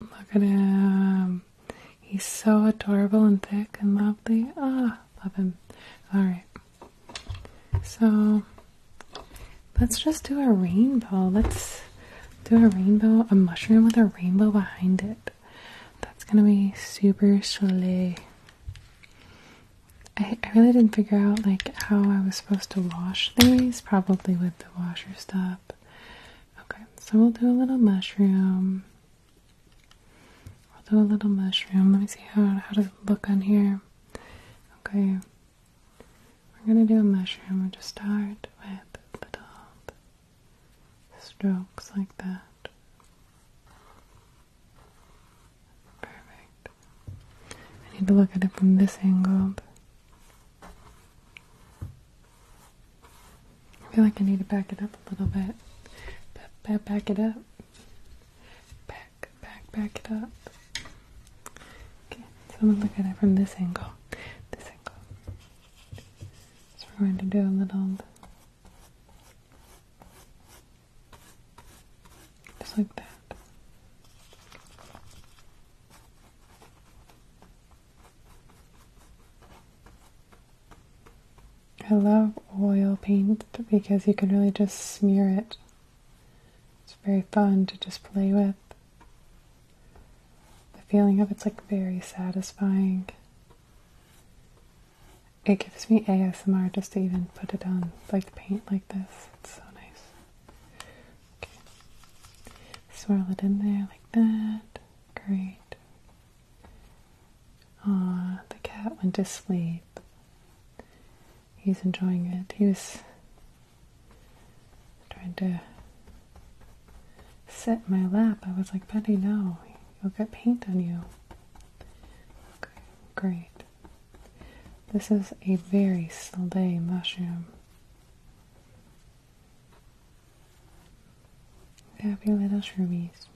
Look at him. He's so adorable and thick and lovely. Ah, love him. All right. So let's just do a rainbow. Let's do a rainbow, a mushroom with a rainbow behind it. That's gonna be super silly. I really didn't figure out like how I was supposed to wash these, probably with the washer stuff. Okay, so we'll do a little mushroom. We'll do a little mushroom. Let me see how how does it look on here. Okay, we're gonna do a mushroom. We'll just start with little strokes like that. Perfect. I need to look at it from this angle. I feel like I need to back it up a little bit. Back, back, back it up. Back, back, back it up. Okay, so I'm gonna look at it from this angle. This angle. So we're going to do a little. Just like that. I love oil paint because you can really just smear it. It's very fun to just play with. The feeling of it's like very satisfying. It gives me ASMR just to even put it on, like paint like this. It's so nice. Swirl it in there like that. Great. Ah, the cat went to sleep. He's enjoying it. He was trying to sit in my lap. I was like, Betty, no, you'll get paint on you. Okay, great. This is a very slay mushroom. Happy little shroomies.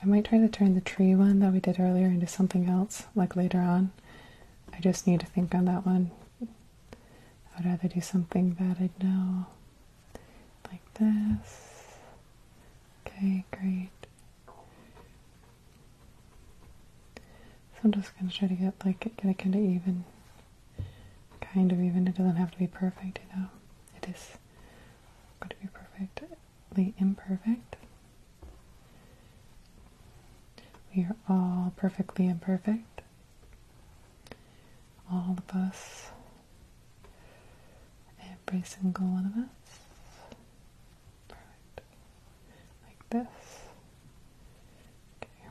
I might try to turn the tree one that we did earlier into something else, like later on. I just need to think on that one. I would rather do something that I'd know, like this. Okay, great. So I'm just going to try to get like get it kind of even, kind of even. It doesn't have to be perfect, you know. It is going to be perfectly imperfect. We are all perfectly imperfect. All of us. Every single one of us like this. Okay.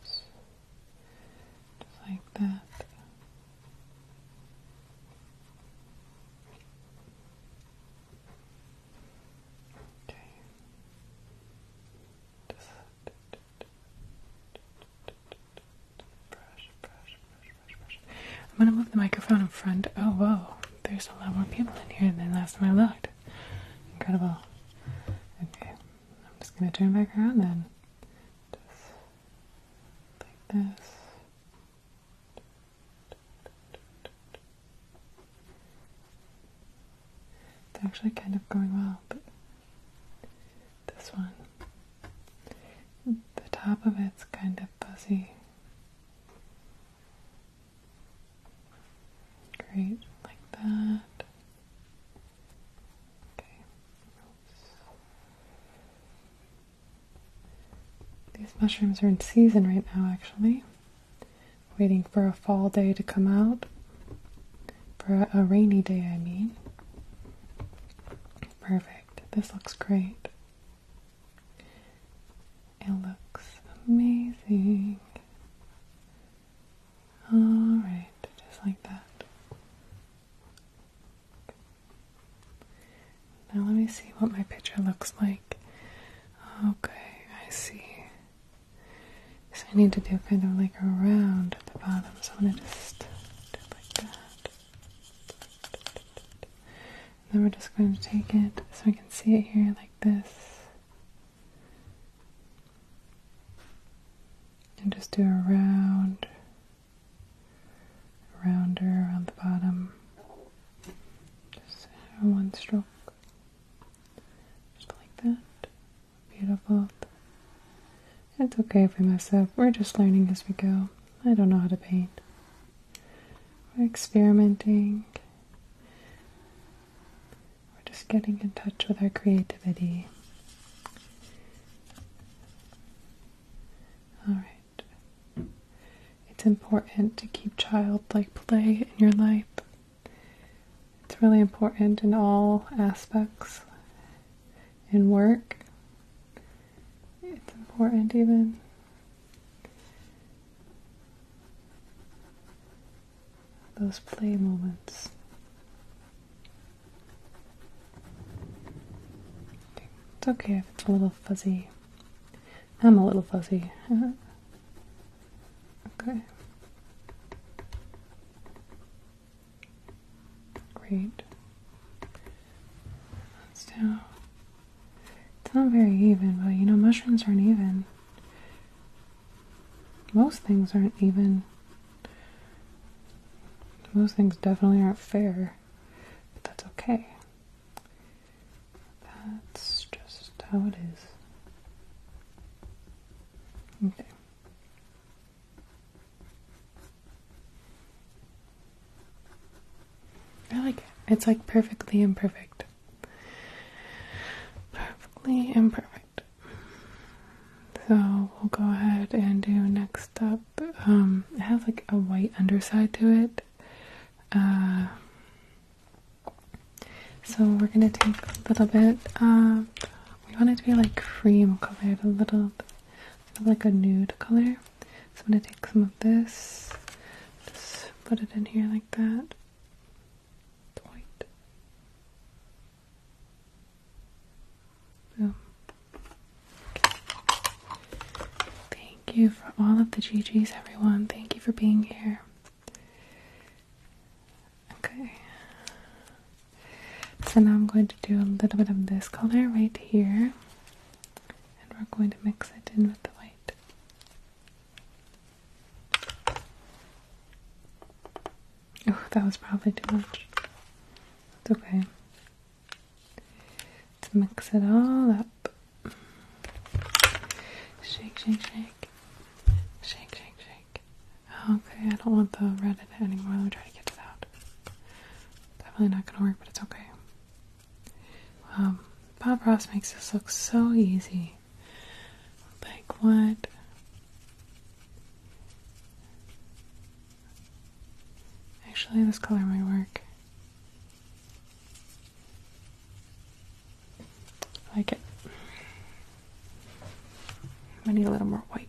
Just like that. Okay. brush, brush, brush, brush, brush. I'm gonna move the microphone in front. Oh, whoa. There's a lot more people in here than last time I looked. Incredible. Okay, I'm just gonna turn back around then. like this. It's actually kind of going well, but this one. The top of it's kind of fuzzy. Great, like that. Okay. These mushrooms are in season right now, actually. Waiting for a fall day to come out. For a rainy day, I mean. Perfect. This looks great. It looks amazing. Alright, just like that. Now let me see what my picture looks like. Okay, I see. So I need to do kind of like a round at the bottom, so I'm gonna just do it like that. And then we're just going to take it so we can see it here like this. And just do a round, rounder around the bottom. Just one stroke. Just like that. Beautiful. It's okay if we mess up. We're just learning as we go. I don't know how to paint. We're experimenting. We're just getting in touch with our creativity. Alright. It's important to keep childlike play in your life. It's really important in all aspects. In work, it's important even those play moments. It's okay if it's a little fuzzy. I'm a little fuzzy. okay. Great. That's down. It's not very even, but you know, mushrooms aren't even. Most things aren't even. Most things definitely aren't fair, but that's okay. That's just how it is. Okay. I like it. It's like perfectly imperfect perfectly imperfect. So we'll go ahead and do next up. Um, it has like a white underside to it. Uh, so we're gonna take a little bit. Uh, we want it to be like cream colored, a little like a nude color. So I'm gonna take some of this, just put it in here like that point. Boom. Um, thank you for all of the GGs, everyone. Thank you for being here. Okay. So now I'm going to do a little bit of this color right here, and we're going to mix it in with the white. Oh, that was probably too much. It's okay. Let's mix it all up. Shake, shake, shake. Shake, shake, shake. Okay, I don't want the red in it anymore. Let me try to get to that. Definitely not gonna work, but it's okay. Um, Bob Ross makes this look so easy. Like what? Actually, this color might work. like it. I need a little more white.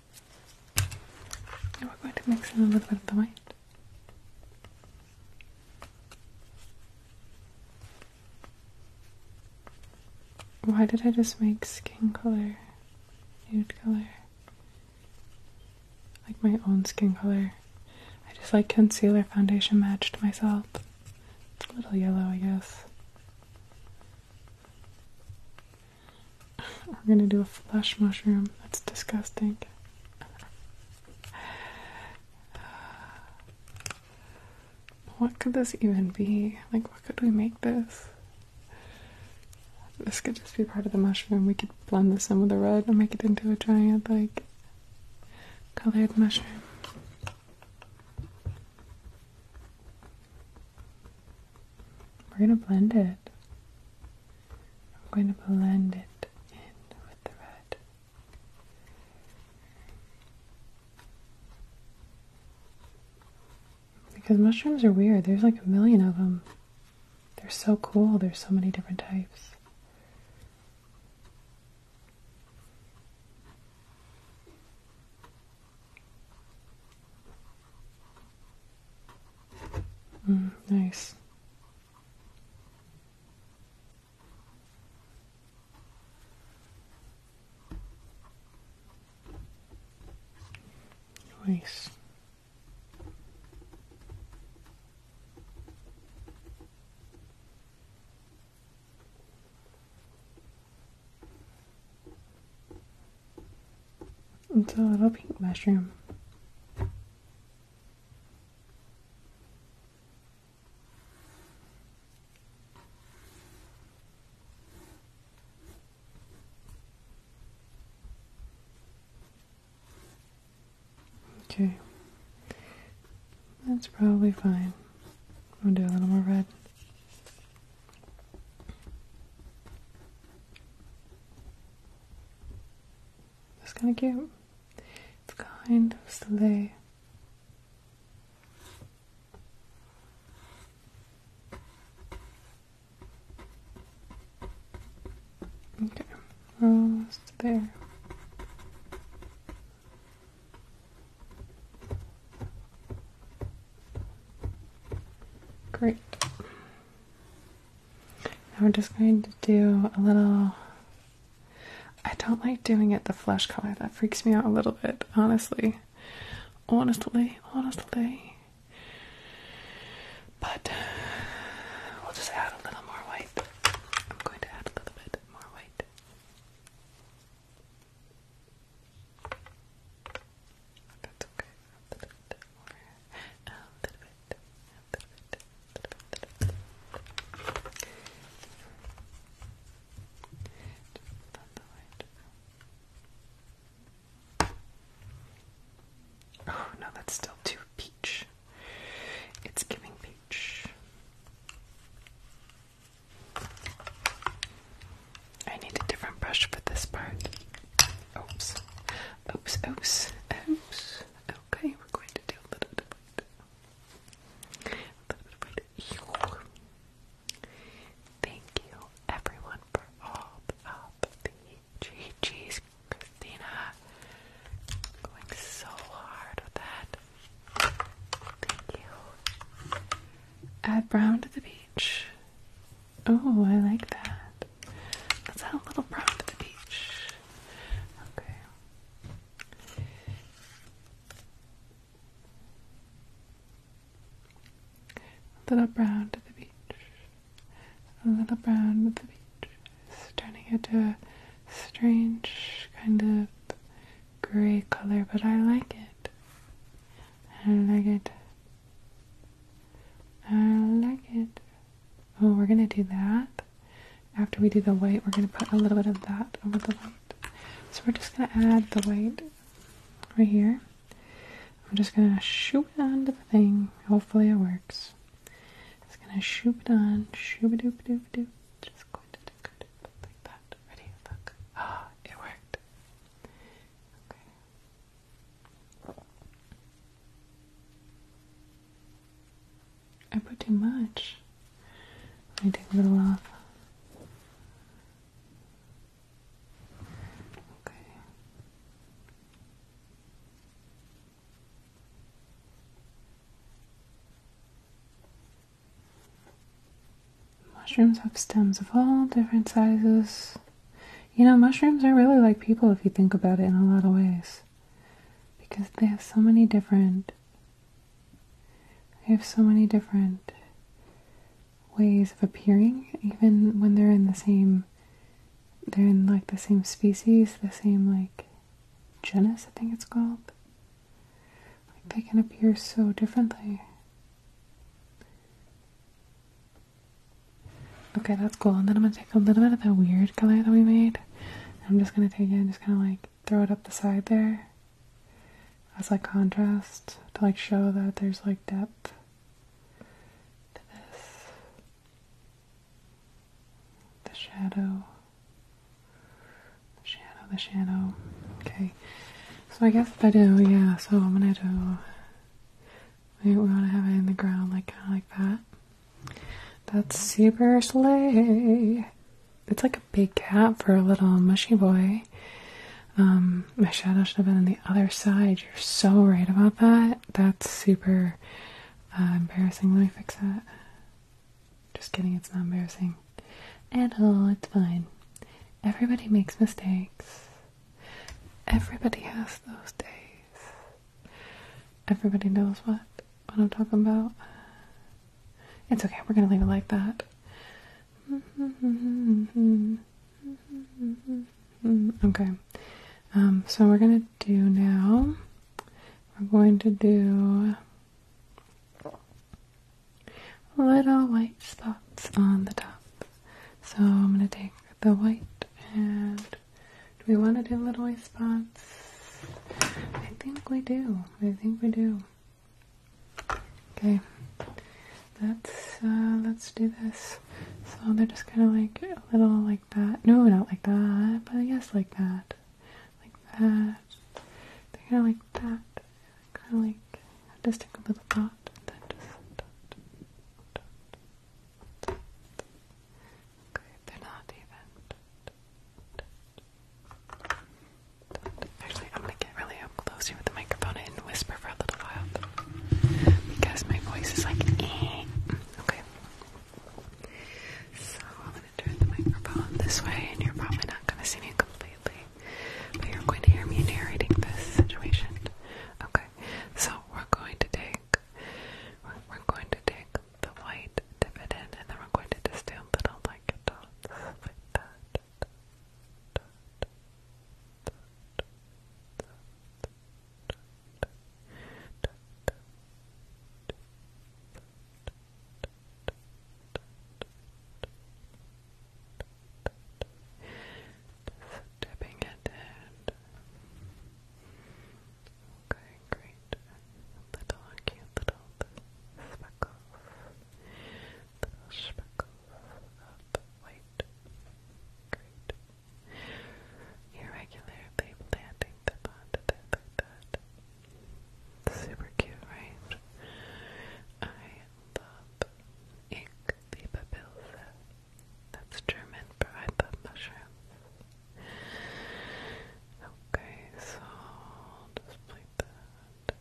we're going to mix a little bit of the white. Why did I just make skin color, nude color? Like my own skin color. I just like concealer foundation matched myself. a little yellow, I guess. We're gonna do a flesh mushroom. That's disgusting. What could this even be? Like, what could we make this? This could just be part of the mushroom. We could blend this in with the red and make it into a giant, like, colored mushroom. We're going to blend it. I'm going to blend it in with the red. Because mushrooms are weird. There's like a million of them. They're so cool. There's so many different types. Mm, nice. Nice. It's a uh, little pink mushroom. Okay, that's probably fine. We'll do a little more red. That's kind of cute. It's kind of silly. Okay, almost there. Great. And we're just going to do a little. I don't like doing it the flesh color, that freaks me out a little bit, honestly. Honestly, honestly. But we'll just add a little more white. I'm going to add a little bit more white. That's okay. Oh no, that's still too peach. It's giving peach. I need a different brush for this part. Oops. Oops, oops. Okay, we're going to do Thank you, everyone, for all of the GG's. Christina, going so hard with that. Thank you. Add brown to the beach. Oh, I like that prompt. a little prompt to each. Okay. little brown to the beach. A little brown to the beach. It's turning into a strange kind of gray color, but I like it. I like it. I uh, like it. Oh, we're gonna do that. After we do the white, we're gonna put a little bit of that over the white. So we're just gonna add the white right here. I'm just gonna shoot it onto the thing. Hopefully it works. Just gonna shoot it on, shoop doop doop doop. Just going to do it like that. Ready? Look. Ah, oh, it worked. Okay. I put too much. Let me take a little off. Okay. Mushrooms have stems of all different sizes you know, mushrooms are really like people if you think about it in a lot of ways. Because they have so many different they have so many different ways of appearing, even when they're in the same they're in like the same species, the same like genus, I think it's called. they can appear so differently. Okay, that's cool. And then I'm gonna take a little bit of that weird color that we made. I'm just gonna take it and just kind of like throw it up the side there as like contrast to like show that there's like depth to this. The shadow. The shadow, the shadow. Okay. So I guess if I do, yeah, so I'm gonna do we, we wanna have it in the ground like kinda like that. That's super sleigh. It's like a big cat for a little mushy boy. Um, my shadow should have been on the other side. You're so right about that. That's super uh, embarrassing. Let me fix that. Just kidding, it's not embarrassing at all. It's fine. Everybody makes mistakes. Everybody has those days. Everybody knows what what I'm talking about. It's okay. We're gonna leave it like that. Okay. Um, so we're gonna do now. We're going to do little white spots on the top. So I'm gonna take the white and do we want to do little eye spots? I think we do. I think we do. Okay. Let's uh, let's do this. So they're just kind of like a little like that. No, not like that, but yes, like that, like that. They're kind of like that. Kind of like just a little dot, Okay, they're not even. Actually, I'm gonna get really close here with the microphone and whisper for a little while because my voice is like, eh. okay. So I'm gonna turn the microphone this way, and you're probably not gonna see me completely, but you're going to hear me narrating this situation. Okay, so we're going to take we're going to take the white, dip it in, and then we're going to just do little like dots like that. dipping it in. Okay, great. Little cute little speckles. Little speckles of uh, white. Great. Irregularly planting them onto there like that. Super cute, right? I love ink. Leave a that's German for I love mushrooms. Okay, so i just play that.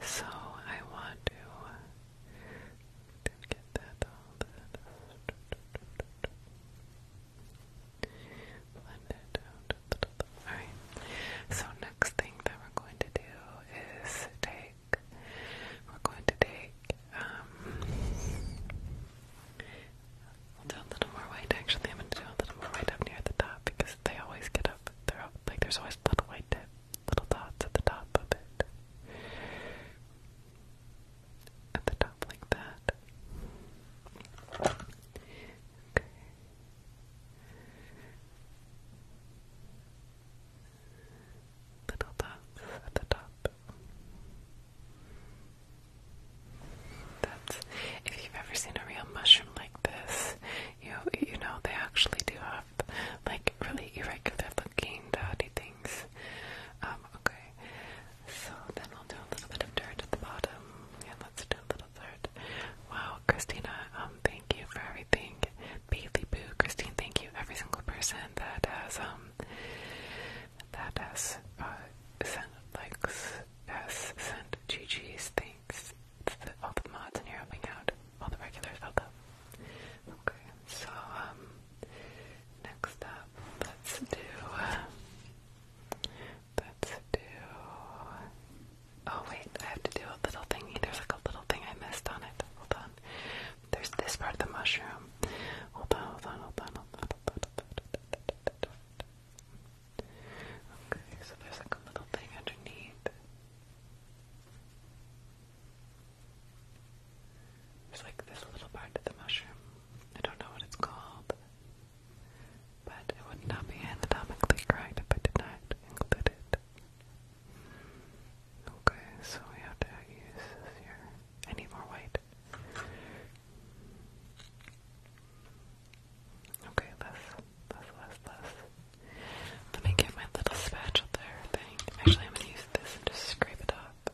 So I want to, uh, get that all that Alright. So next thing that we're going to do is take take we're going to take um will do a little more white actually I'm gonna do a little more white up near the top because they always get up there's always little white little dots at the top of it. At the top like that at the top. That's if you've ever seen a real mushroom like this, you you know they actually do have like really irregular looking dotty things. Um, okay. So then we will do a little bit of dirt at the bottom. Yeah, let's do a little dirt. Wow, Christina, um, thank you for everything. Bailey Boo, Christine, thank you every single person that has um um, that has uh, sent likes, has sent GG's thanks to the, all the mods in here helping out, all the regulars help oh, out. Okay, so um, next up, let's do, uh, let's do. Oh wait, I have to do a little thingy. There's like a little thing I missed on it. Hold on. There's this part of the mushroom. Hold on, hold on, hold on, hold on. Hold on. Okay, so there's like a little thing underneath. There's like this little part of the mushroom. I don't know what it's called. But it would not be anatomically correct if I did not include it. Okay, so we have to use this here. I need more white. Okay, less, less, less, less. Let me get my little spatula thing. Actually, I'm gonna use this and just scrape it up.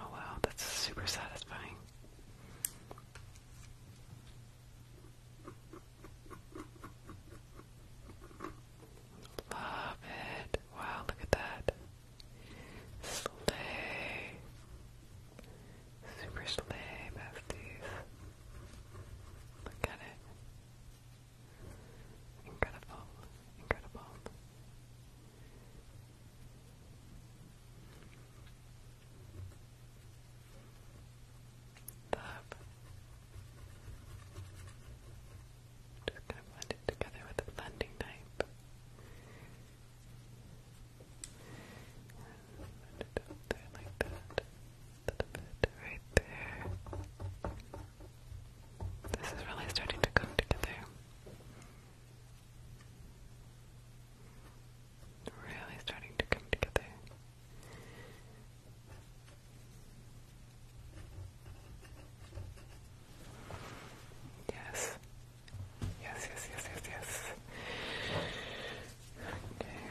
Oh wow, that's super satisfying. Love it. Wow, look at that. Slay. Super slay, besties. Look at it. Incredible. Incredible. Bob. Just gonna blend it together with a blending knife. blend it up there like that. A bit right there. This is really starting to come together. Really starting to come together. Yes. Yes, yes, yes, yes, yes. Okay.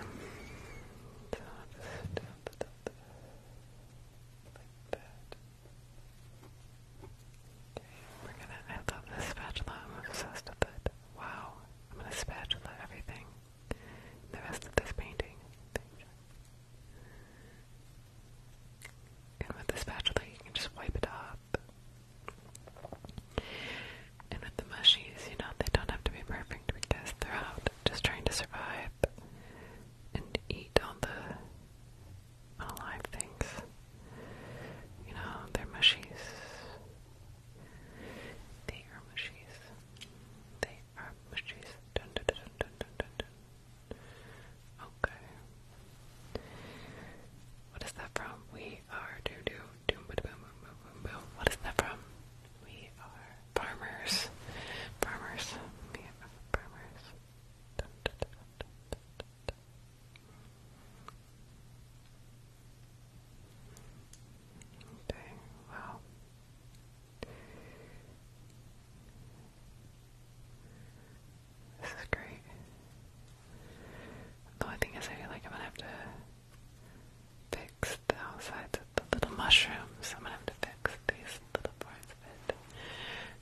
we're gonna. I love this spatula. I'm obsessed with it. Wow. I'm gonna spatula everything the rest of this painting. And with the spatula, you can just wipe it off. And with the mushies, you know, they don't have to be perfect because they're out just trying to survive and eat all the unalive things. You know, they're mushies. They are mushies. They are bushies. Dun, dun, dun, dun, dun, dun, dun. Okay. What is that from? We are doo doo doo. ba boom boom boom boom boom. What is that from? We are farmers. Farmers. We are farmers. Dun, dun, dun, dun, dun, dun, dun. Okay, wow. This is great. The only thing is, I like I'm gonna have to fix the outsides of the little mushrooms. I'm gonna have to fix these little parts of it.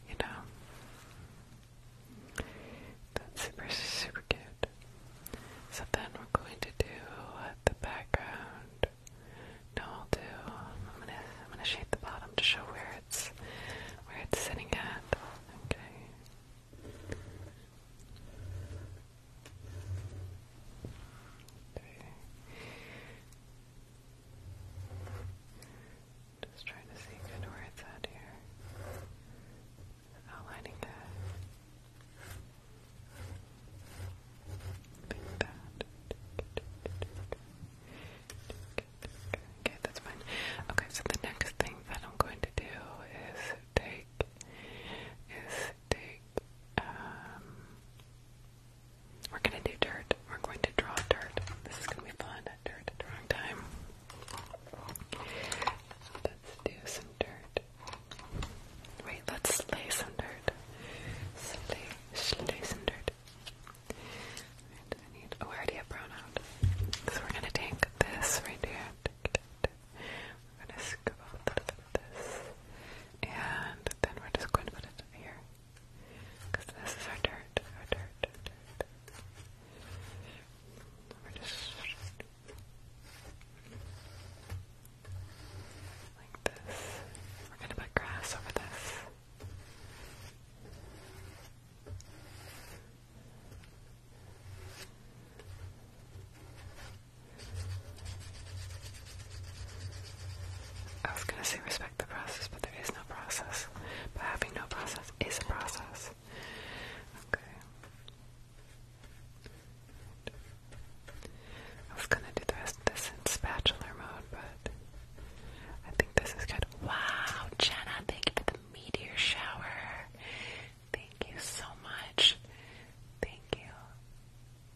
You know? That's super, super cute. So then we're going to do the background. No, I'll do. I'm gonna I'm gonna shade the bottom to show where it's where it's sitting at. Okay. okay. Just trying to see good where it's at here. Outlining that. Okay, that's fine. Okay, so the next thing that I'm going to do is take is take um, we're gonna do dirt. We're going to draw dirt. This is gonna be fun at dirt at the wrong time. Let's do some dirt. Wait, let's slay some dirt. Slay Schleusendert. Right, I need, oh, I So we're gonna take this right here. We're gonna scoop out this. And then we're just going to put it here. Because this is dirt, our dirt. We're just like this. We're gonna put grass over this. I was gonna say respect the process, but there is no process. But having no process is a process. Okay. I was gonna do the rest of this in spatula mode, but I think this is good. Wow, Jenna, thank you for the meteor shower. Thank you so much. Thank you.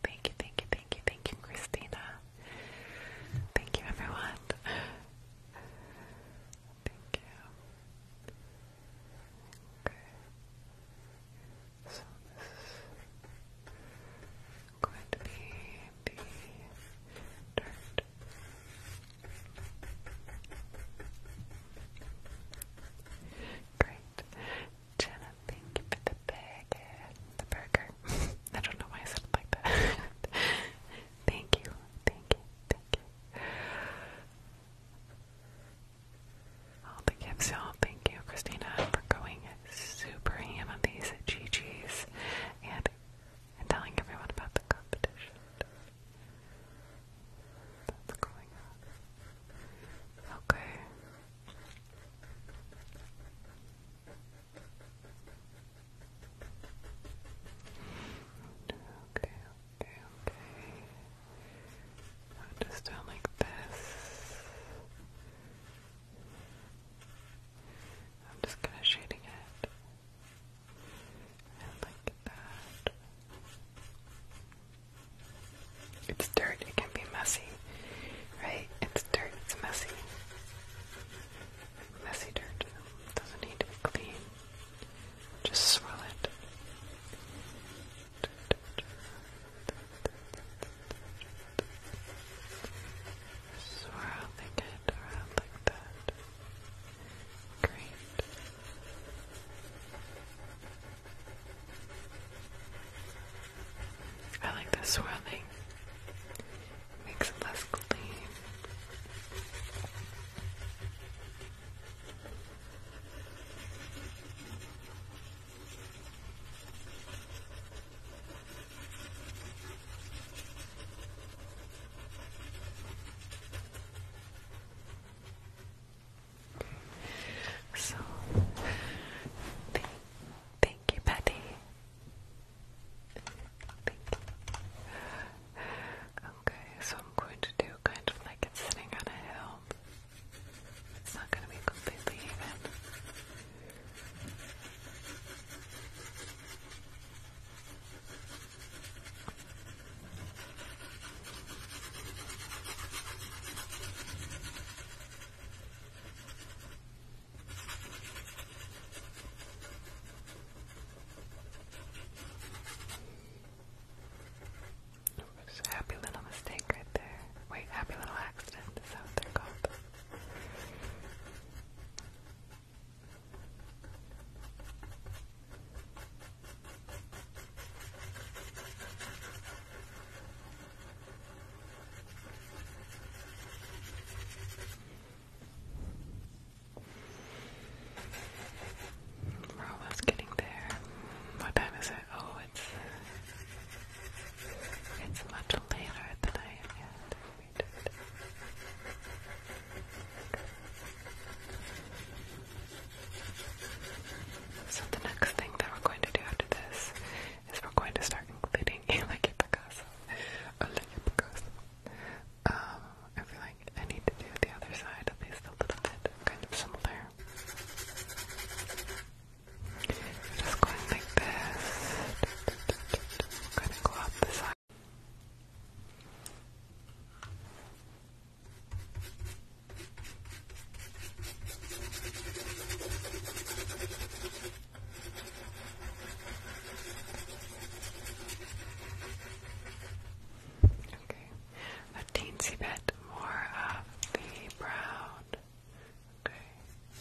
Thank you, thank you, thank you, thank you, Christina. Thank you, everyone. Thank you. Okay. So this is could be the dirt. Great. Jenna, thank you for the burger. The burger. I don't know why I said it like that. thank you. Thank you. Thank you. All the gifts, all Thank you, Christina, for going super ham on these GGs and, telling everyone about the competition. That's going on. Okay. Okay, okay, okay. just do like this. I'm just kind of shading it. And like that. It's dirt, it can be messy, right? It's dirt, it's messy. Messy dirt doesn't need to be clean. Just swirl it. Swirling it around like that. Great. I like the swirling. Makes it less clean. So, thank, you, Patty. Okay, so I'm going to do kind of like sitting on a hill. It's not going to be completely it's a happy little mistake right there. Wait, happy little accident is that what they're called. We're almost getting there. What time is it? Oh, it's it's much later than I am so the next thing that we're going to do after this is we're going to start including Elige Picasso. Elige Picasso. Um, I feel like I need to do the other side, at least a little bit, kind of similar. Just going like this. gonna go up the side. Okay, a teensy bit more of the brown. Okay.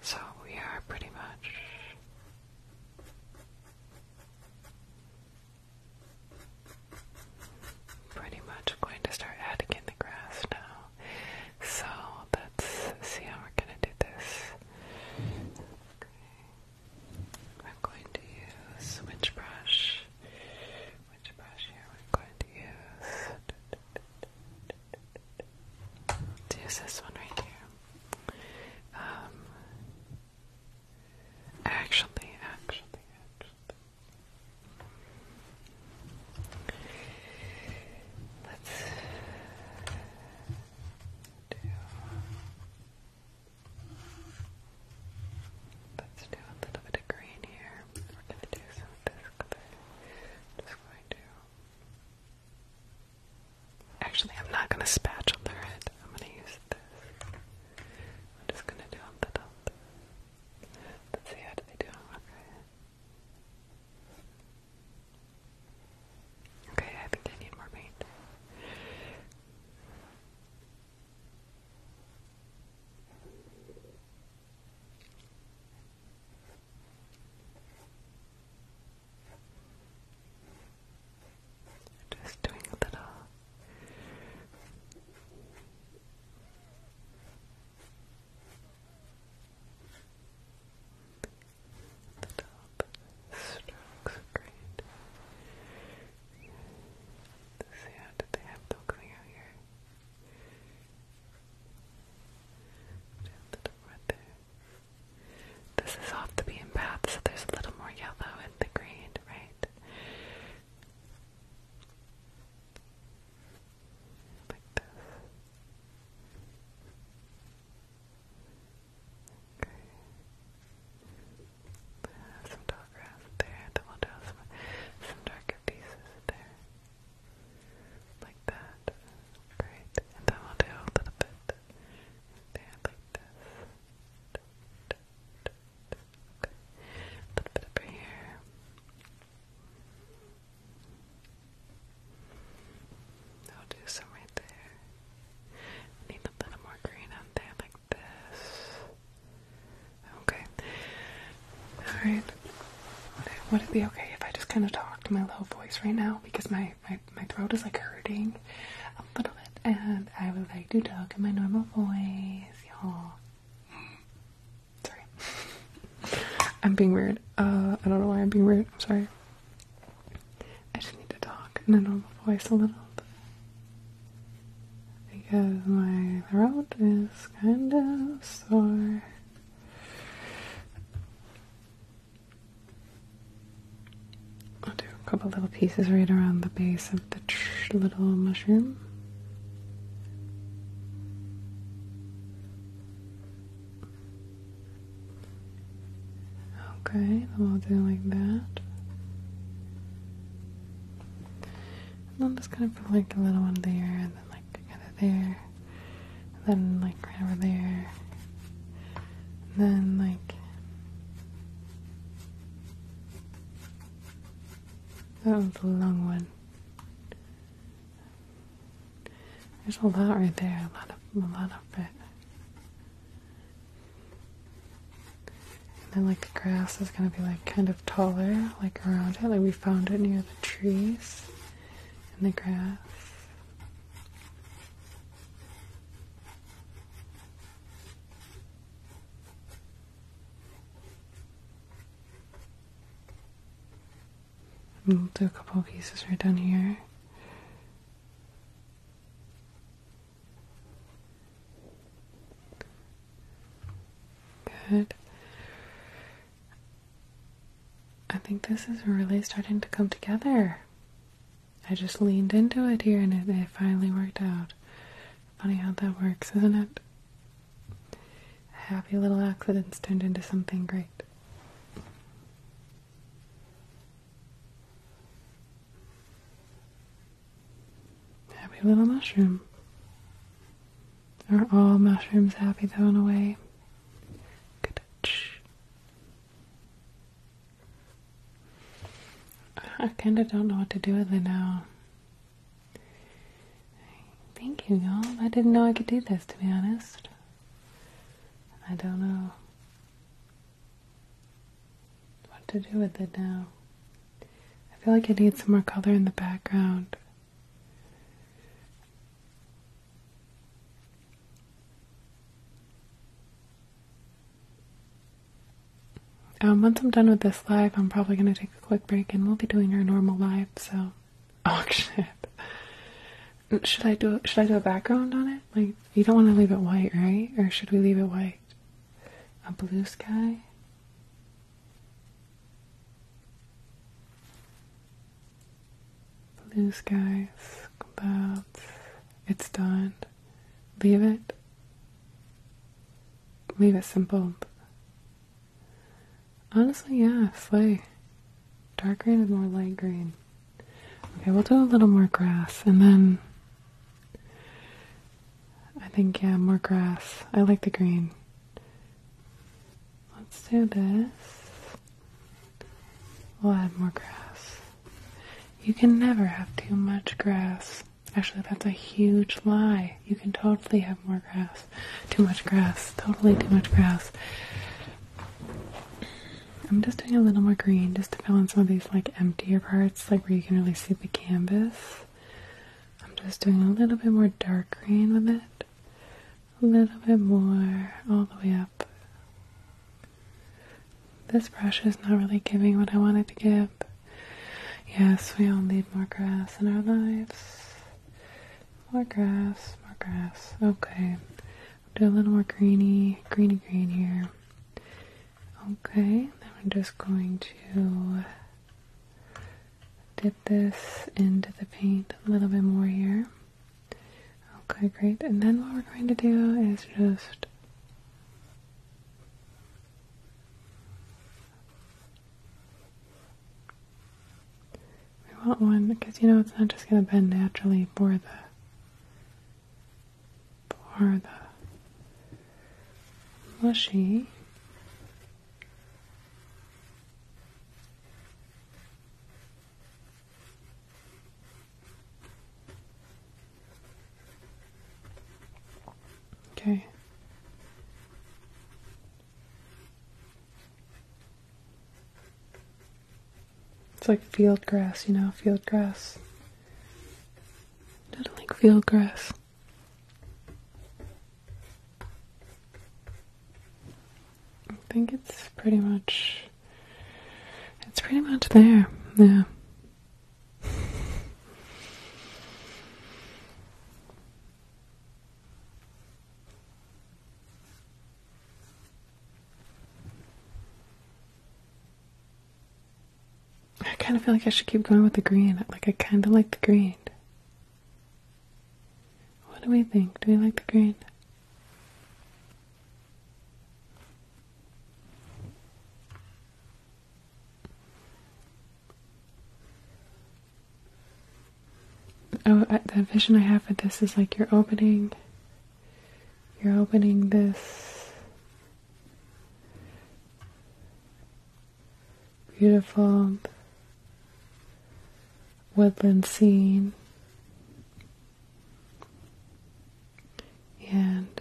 So we are pretty much pretty much going to start adding the grass now. So let's see how we're gonna do this. I'm going to use which brush? Which brush here? I'm going to use there's this one right here. Um, actually, actually, actually, let's do. Let's do a little bit of green here. We're going to do some of just going to Actually, I'm not going to their head. I'm going to use this. I'm just going to do a little. Let's see how do they do on Okay, I think I need more paint. Just doing a little little strokes great. Let's see how did they have milk coming out here? Just a little right there. This is off the beaten path, so there's a little more yellow in the green, right? Like this. Okay. some tall grass there, then we'll draw some, some darker pieces there. Like that. Great. And then we'll do a little bit there, like this. A little bit over here. I'll do some right there. Need a little more green on there, like this. Okay. Alright. Would it be okay if I just kind of talk in my low voice right now? Because my my, throat is like hurting a little bit, and I would like to talk in my normal voice, y'all. Sorry. I'm being weird. Uh, I don't know why I'm being weird. I'm sorry. I just need to talk in a normal voice a little Because my throat is kind of sore. I'll do a couple little pieces right around the base of the little mushroom. Okay, i will do like that. And I'm just kind of put like a little one there and then like together there and then like right over there, and then like that was a long one. There's a lot right there, a lot of a lot of it. And then like the grass is gonna be like kind of taller, like around it, like we found it near the trees and the grass we'll do a couple of pieces right down here. Good. I think this is really starting to come together. I just leaned into it here and it, finally worked out. Funny how that works, isn't it? Happy little accidents turned into something great. Happy little mushroom. Are all mushrooms happy Thrown away. a I kind of don't know what to do with it now. Thank you, y'all. I didn't know I could do this, to be honest. I don't know what to do with it now. I feel like I need some more color in the background. Um, once I'm done with this live, I'm probably going to take a quick break and we'll be doing our normal live, so. Oh shit. Should I do should I do a background on it? Like you don't want to leave it white, right? Or should we leave it white? A blue sky? blue skies, clouds, it's done. Leave it. Leave it simple. Honestly, yeah, slay. Dark green is more light green. Okay, we'll do a little more grass and then I think, yeah, more grass. I like the green. Let's do this. We'll add more grass. You can never have too much grass. Actually, that's a huge lie. You can totally have more grass. Too much grass. Totally too much grass. I'm just doing a little more green just to fill in some of these like emptier parts, like where you can really see the canvas. I'm just doing a little bit more dark green with it. A little bit more all the way up. This brush is not really giving what I wanted to give. Yes, we all need more grass in our lives. More grass, more grass. Okay. Do a little more greeny, greeny green here. Okay, then I'm just going to dip this into the paint a little bit more here. Okay, great. And then what we're going to do is just we want one because you know it's not just going to bend naturally for the for the mushy. Okay. It's like field grass, you know, field grass. I don't like field grass. I think it's pretty much it's pretty much there, yeah. I kind of feel like I should keep going with the green. Like, I kind of like the green. What do we think? Do we like the green? Oh, the vision I have for this is like you're opening, you're opening this beautiful woodland scene and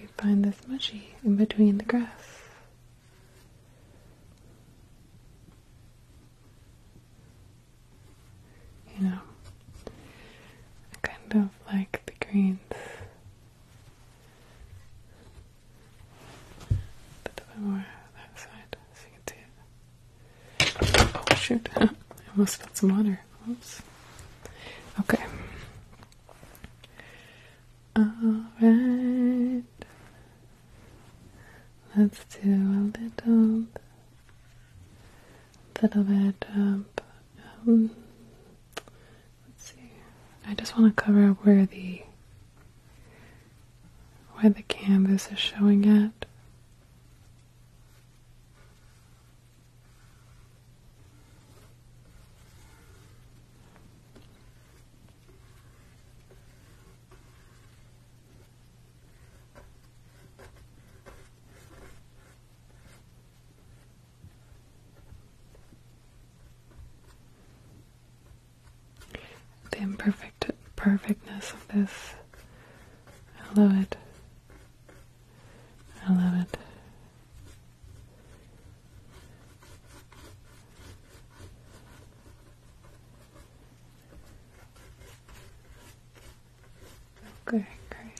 you find this mushy in between the grass. You know, kind of like the greens, but a bit more that side so you can see it. Oh shoot! I almost spilled some water. Oops. Okay. All right. Let's do a little, little bit of. Um, let's see. I just want to cover where the where the canvas is showing at. The imperfect perfectness of this I love it. I love it. Okay, great.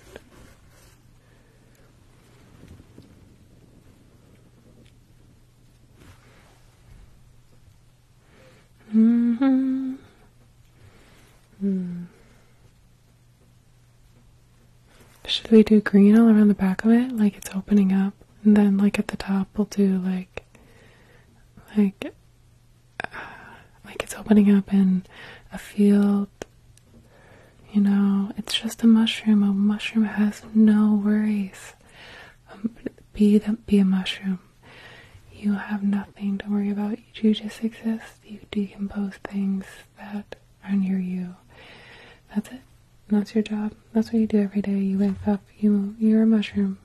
Mm-hmm. Mm-hmm. Should we do green all around the back of it? Like it's opening up. And then like at the top we'll do like like uh, like it's opening up in a field. You know, it's just a mushroom. A mushroom has no worries. Um, be the, be a mushroom. You have nothing to worry about. You just exist. You decompose things that are near you. That's it. That's your job. That's what you do every day. You wake up. You you're a mushroom.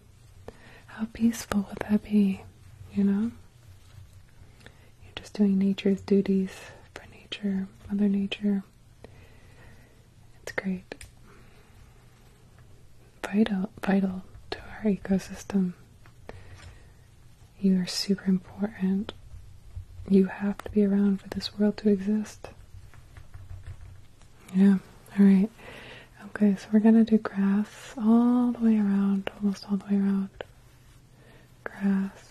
How peaceful would that be? You know. You're just doing nature's duties for nature, Mother Nature. It's great vital vital to our ecosystem. You are super important. You have to be around for this world to exist. Yeah, alright. Okay, so we're gonna do grass all the way around, almost all the way around. Grass.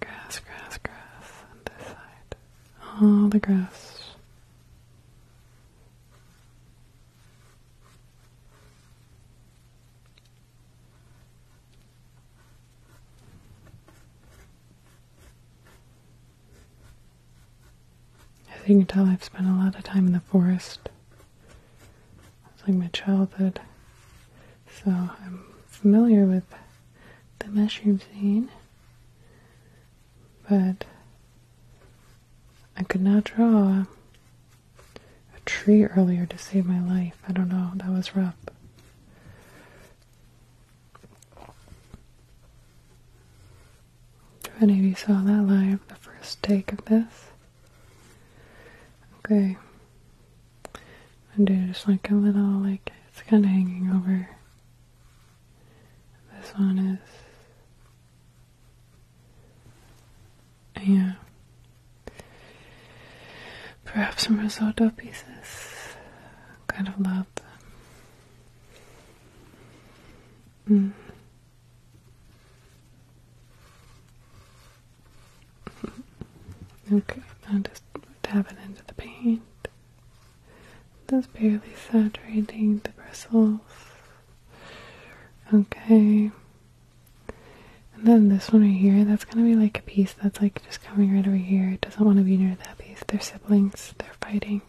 Grass, grass, grass on this side. All the grass. As you can tell, I've spent a lot of time in the forest. It's like my childhood. So I'm familiar with the mushroom scene. But I could not draw a tree earlier to save my life. I don't know, that was rough. If any of you saw that live, the first take of this. Okay. I do just like a little, like, it's kind of hanging over this one is, yeah, perhaps some risotto pieces. Kind of love them. Mm. Okay, just dab it into the paint. Just barely saturating the bristles. Okay. And then this one right here, that's gonna be like a piece that's like just coming right over here. It doesn't want to be near that piece. They're siblings, they're fighting.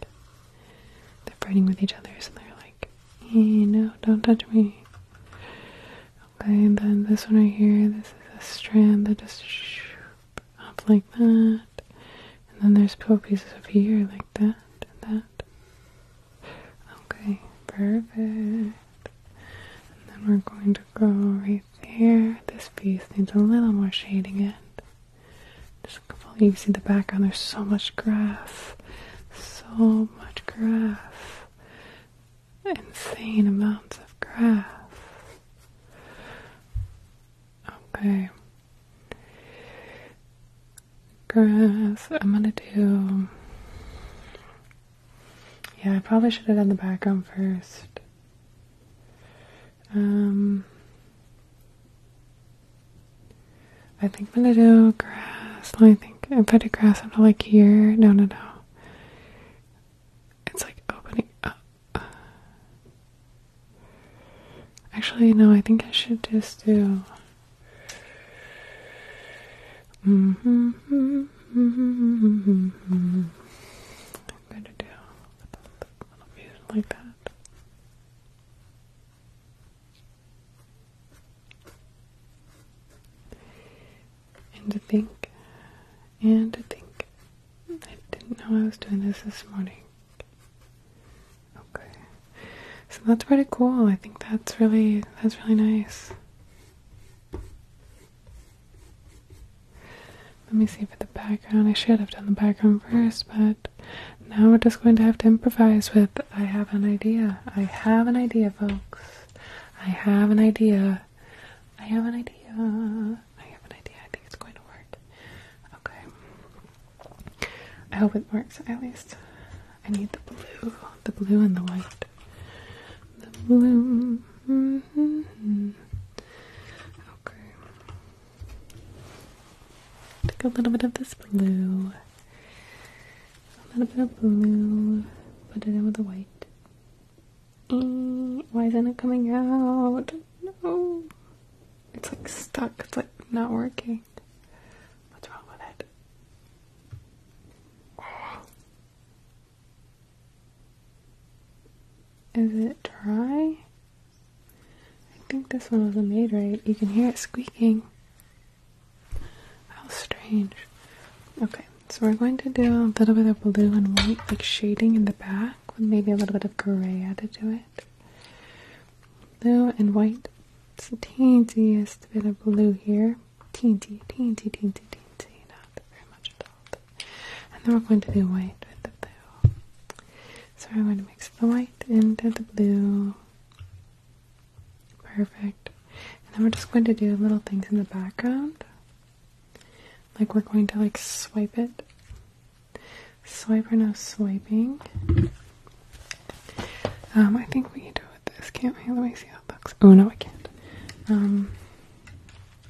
They're fighting with each other, so they're like, hey, eh, no, don't touch me. Okay, and then this one right here, this is a strand that just up like that. And then there's four pieces up here like that and that. Okay, perfect. And then we're going to go right there. This piece needs a little more shading in. Just a couple, you can see the background, there's so much grass. So much grass. Insane amounts of grass. Okay, Grass. I'm gonna do. Yeah, I probably should have done the background first. Um, I think I'm gonna do grass. Let me think. If I do grass, I'm like here. No, no, no. It's like opening actually, no, I think I should just do. Mm I'm going to do a little bit like that. And to think, and to think. I didn't know I was doing this this morning. Okay. So that's pretty cool. I think that's really that's really nice. Let me see for the background. I should have done the background first, but now we're just going to have to improvise with I have an idea. I have an idea, folks. I have an idea. I have an idea. I have an idea. I think it's going to work. Okay. I hope it works at least. I need the blue, the blue and the white. The blue. Mm-hmm. Okay. Take a little bit of this blue. A little bit of blue. Put it in with the white. Mm, why isn't it coming out? No. It's like stuck. It's like not working. What's wrong with it? Is it dry? I think this one wasn't made right. You can hear it squeaking. How strange. Okay, so we're going to do a little bit of blue and white, like shading in the back, with maybe a little bit of gray added to it. Blue and white. It's the teensiest bit of blue here. Teensy, teensy, teensy, teensy. Not very much at all. And then we're going to do white with the blue. So we're going to mix the white into the blue. Perfect. And then we're just going to do little things in the background. Like we're going to like swipe it Swipe or no swiping? Um, I think we can do it with this, can't we? Let me see how it looks. Oh no, I can't. Um,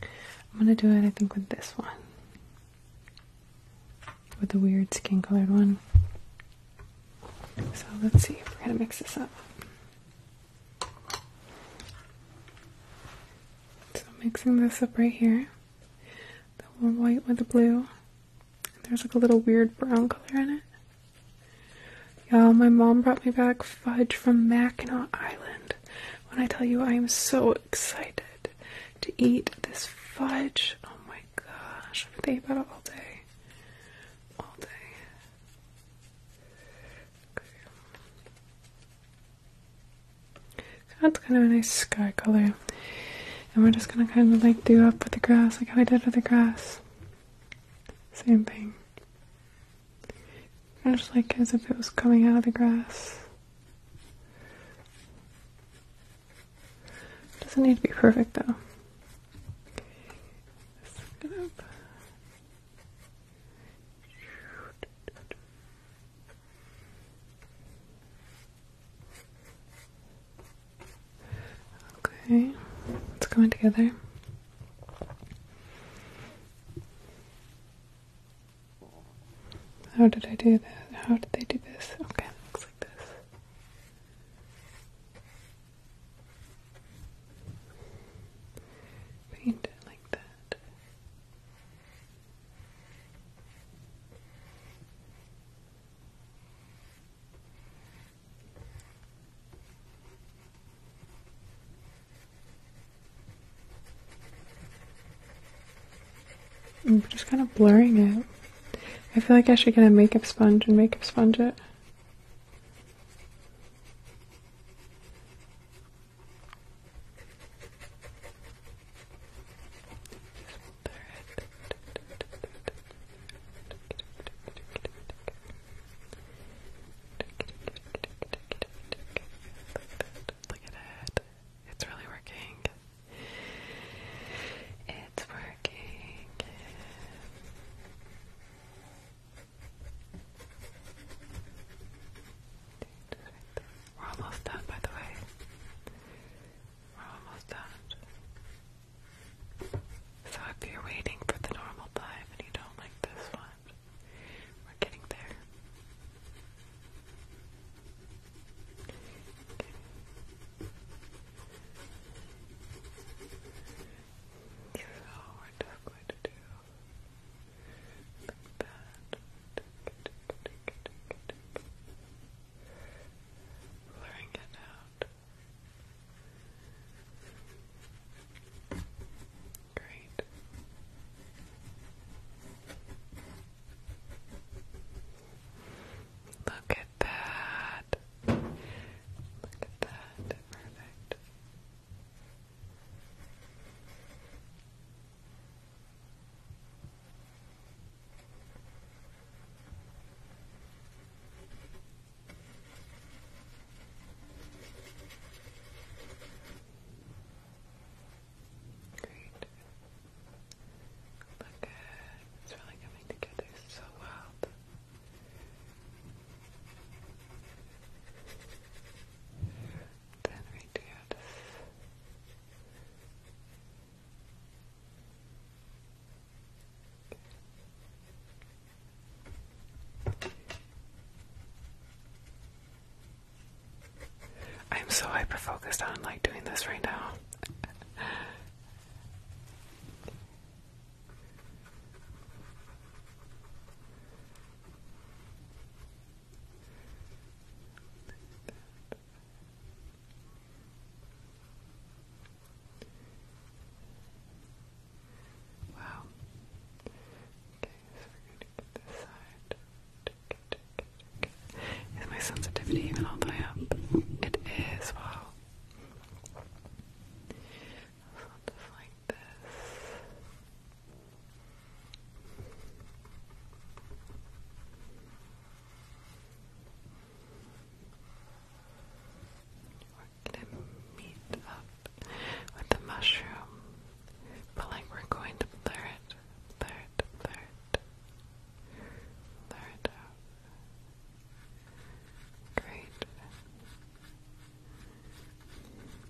I'm gonna do it, I think, with this one. With the weird skin colored one. So let's see if we're gonna mix this up. So mixing this up right here the one white with the blue. There's like a little weird brown color in it. Yeah, my mom brought me back fudge from Mackinac Island. When I tell you I am so excited to eat this fudge. Oh my gosh, I've been thinking about it all day. All day. Okay. That's kind of a nice sky color. And we're just gonna kind of like do up with the grass, like how I did with the grass. Same thing. just like as if it was coming out of the grass. Doesn't need to be perfect though. Okay, it's coming together. How did I do that? How did they do this? Okay, looks like this. Paint it like that. I'm just kind of blurring it. I feel like I should get a makeup sponge and makeup sponge it. Look at it. It's really working. It's working. We're almost done, by the way. We're almost done. So if you're waiting for the normal five and you don't like this one, we're getting there. Okay. So we're just going to blurring it out. Great. Look at that. Look at that. Perfect. Great. Look, it's really coming together so well. Then right here, this I'm so hyper focused on like doing this right now. Wow. Okay, so we're gonna get this side. Is my sensitivity even all the way up? It is, wow. just like this. We're gonna meet up with the mushroom, but like we're going to blur it, blur it, blur it, blur it Great.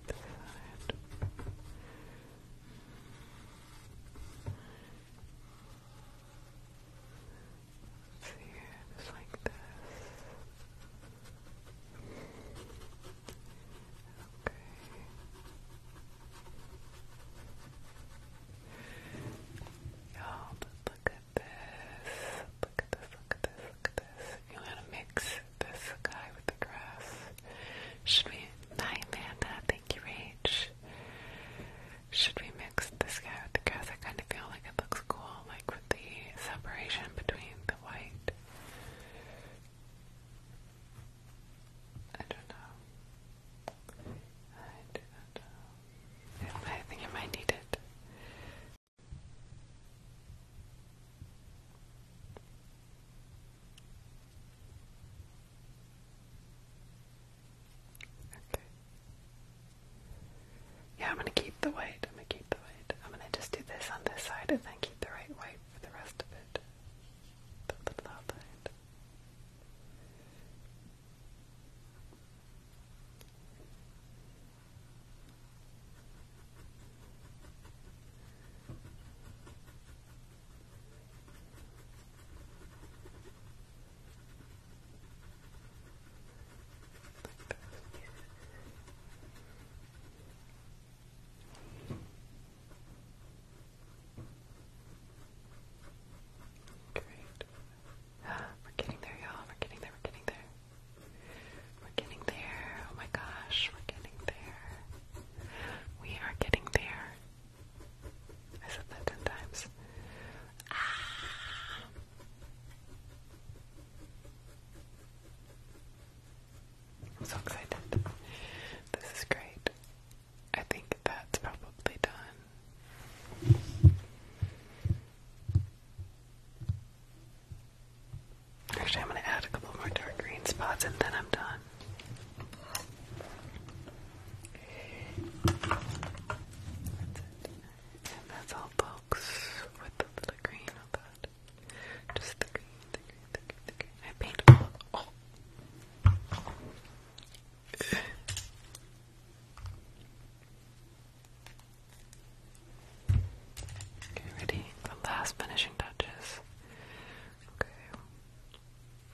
This side. It's like this. Okay. Y'all, look at this. Look at this, look at this, look at this. You want to mix this guy with the grass? Should we? Hi, Amanda. Thank you, Rach. Should we mix this guy with the grass? I kind of feel like it looks cool, like with the separation between the white. I don't know. I don't know. I think I might need it. Yeah, I'm gonna keep the white. I'm gonna keep the white. I'm gonna just do this on this side and then keep the right white for the rest of it. The, the top Great. We're getting there, y'all. We're getting there. We're getting there. We're getting there. Oh my gosh, we're getting there. We are getting there. I said that ten times. Ah. I'm so excited. This is great. I think that's probably done. Actually, I'm going to add a couple more dark green spots and then I'm done. And that's all books with the little green on that. Just the green, the green, the green, I paint oh. Okay, ready? The last finishing touches. Okay.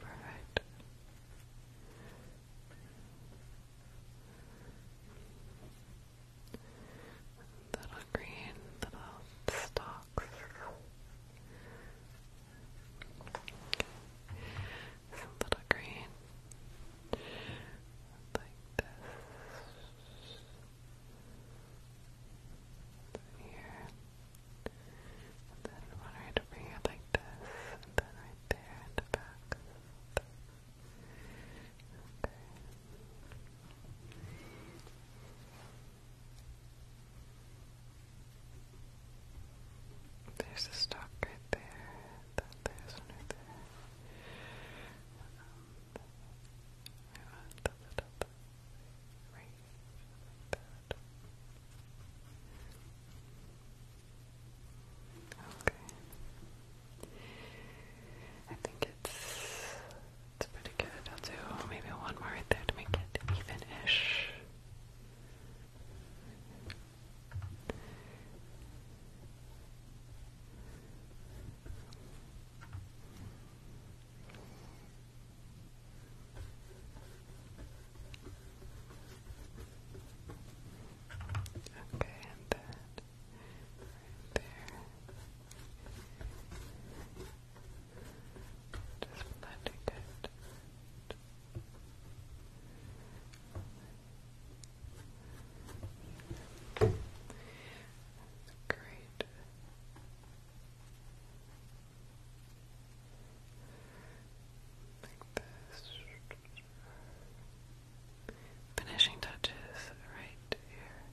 Perfect. Little green little stalks. little green. Like this. Here. And then one right over here like this, and then right there at the back. Okay. There's a stalk right there, then there's one right there. Um, right that. Okay. I think it's it's pretty good. I'll do maybe one more right there to make it even-ish. Okay, and then there. Just blending it. Great. Like this. Finishing touches right here.